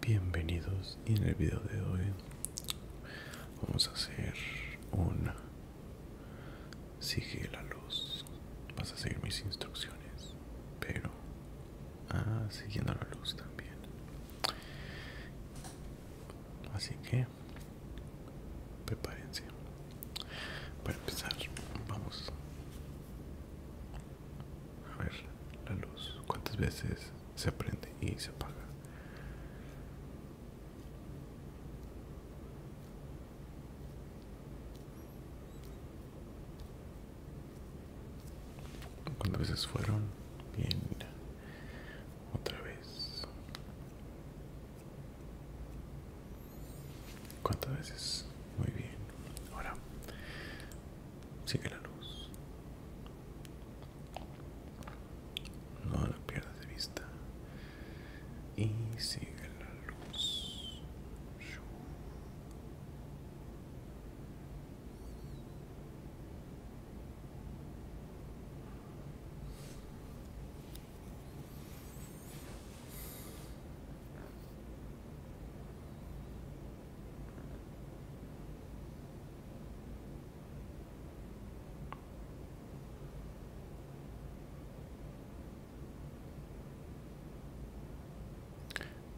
Bienvenidos y en el video de hoy vamos a hacer una sigue la luz vas a seguir mis instrucciones pero ah, siguiendo la luz también así que prepárense para empezar vamos a ver la luz cuántas veces se prende y se apaga cuántas veces fueron bien otra vez cuántas veces muy bien ahora Sigue la luz. No la pierdas de vista. Y sigue la luz.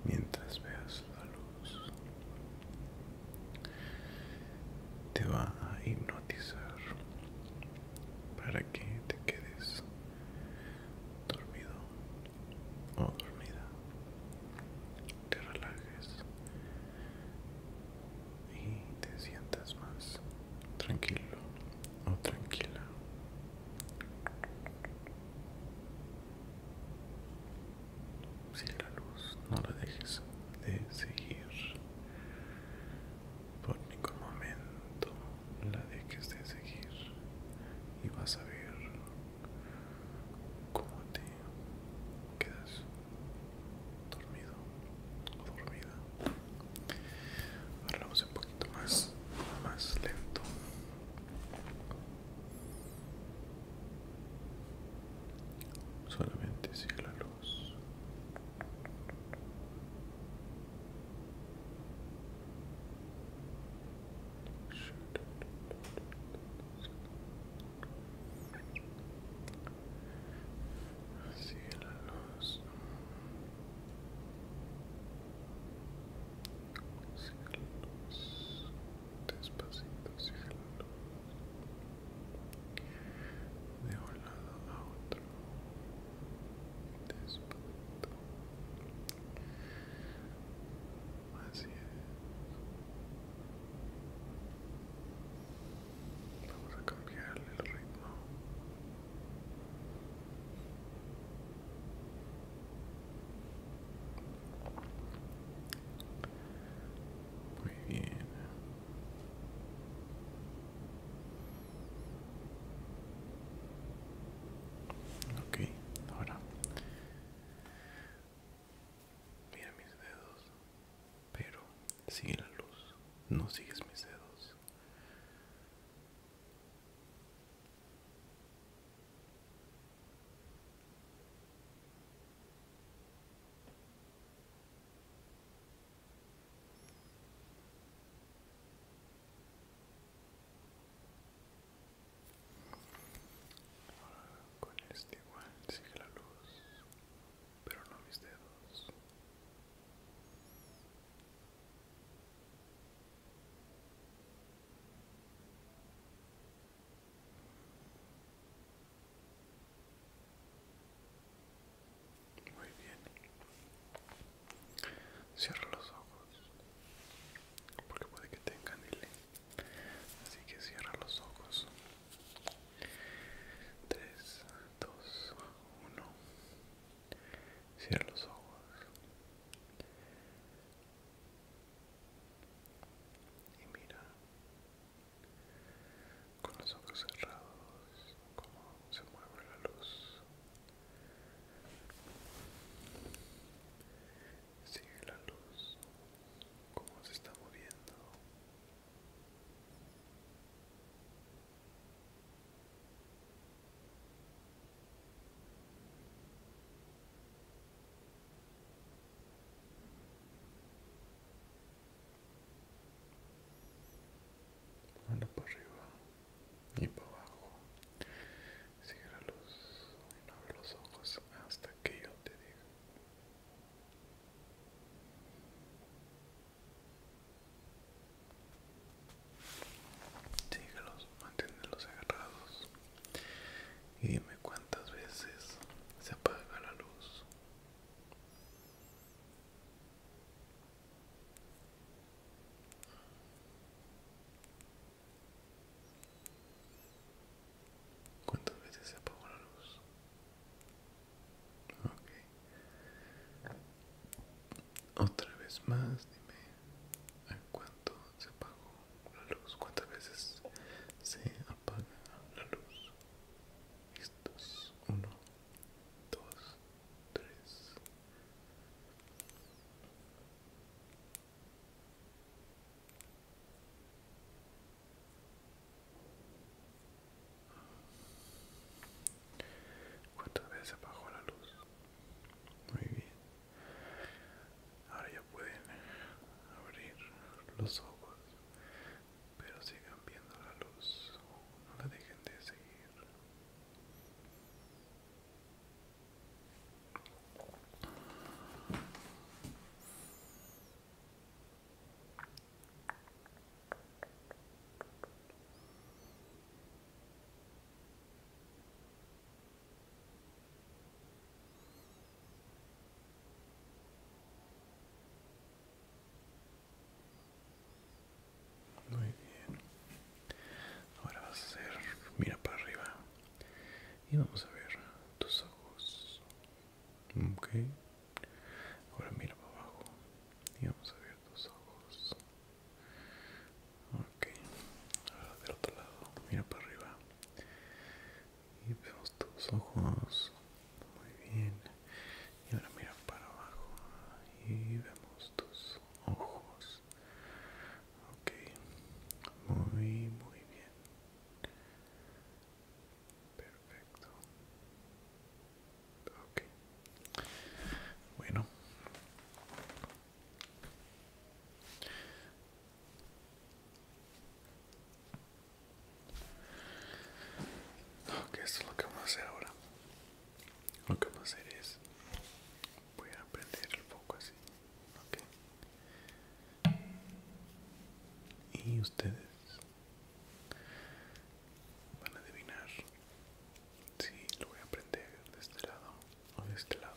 Mientras veas la luz, te va a hipnotizar para que te quedes dormido o dormida te relajes y te sientas más tranquilo o tranquila si la luz no la dejes de seguir por ningún momento la que de seguir y vas a ver cómo te quedas dormido o dormida. Ahora un poquito más, más lento. Solamente sigue la luz. Así la luz. Sigue la luz. Despacito sigue la luz. De un lado a otro así es vamos a cambiarle el ritmo muy bien Ok, ahora mira mis dedos, pero sigue la luz, no sigues mis dedos. Ahora con este igual sigue la luz, pero no mis dedos. Muy bien. Cierra los ojos. Porque puede que te encandile Así que cierra los ojos. 3, 2, 1. Cierra los ojos. Y mira con los ojos cerrados, cómo se mueve la luz. Sigue la luz, cómo se está moviendo. Anda para arriba y por abajo. Sigue la luz y no abre los ojos hasta que yo te diga. Síguelos, manténlos agarrados y dime cuántas veces se apaga la luz. ¿Cuántas veces se apagó la luz? Ok. Otra vez más, dime ¿En cuánto se apagó la luz. ¿Cuántas veces se apaga la luz? listos uno dos tres ¿Cuántas veces bajó la luz? Muy bien. Ahora ya pueden abrir los ojos pero sigan viendo la luz, no la dejen de seguir. Muy bien. Ahora vas a hacer, mira para arriba. Y vamos a ver tus ojos. Ok. Ahora mira para abajo. Y vamos a ver tus ojos. Ok. Ahora del otro lado. Mira para arriba y vemos tus ojos muy bien y ahora mira para abajo y vemos tus ojos ok muy muy bien perfecto ok bueno Ok, eso es lo que vamos a hacer ahora. Lo que vamos a hacer es... Voy a aprender el poco así. Y ustedes van a adivinar si lo voy a aprender de este lado o de este lado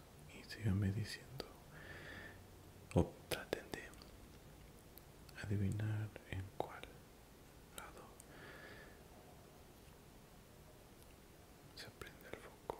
y síganme diciendo o oh, traten de adivinar en cuál lado se prende el foco.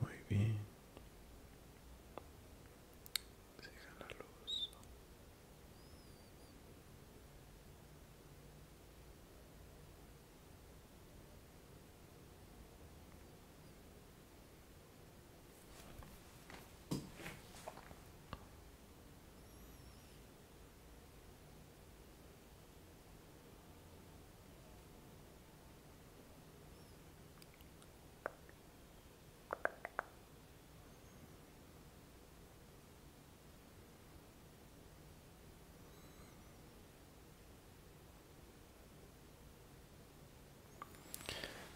Muy bien. Deja la luz.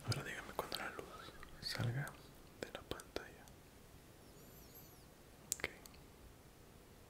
Ahora dígame cuando la luz salga de la pantalla. Okay.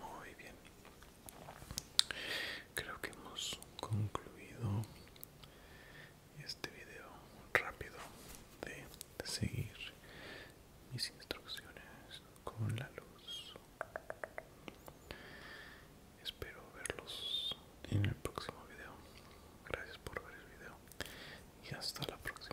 Muy bien. Creo que hemos concluido este video rápido de seguir mis instrucciones con la luz. Espero verlos en el próximo video. Gracias por ver el video y hasta la próxima.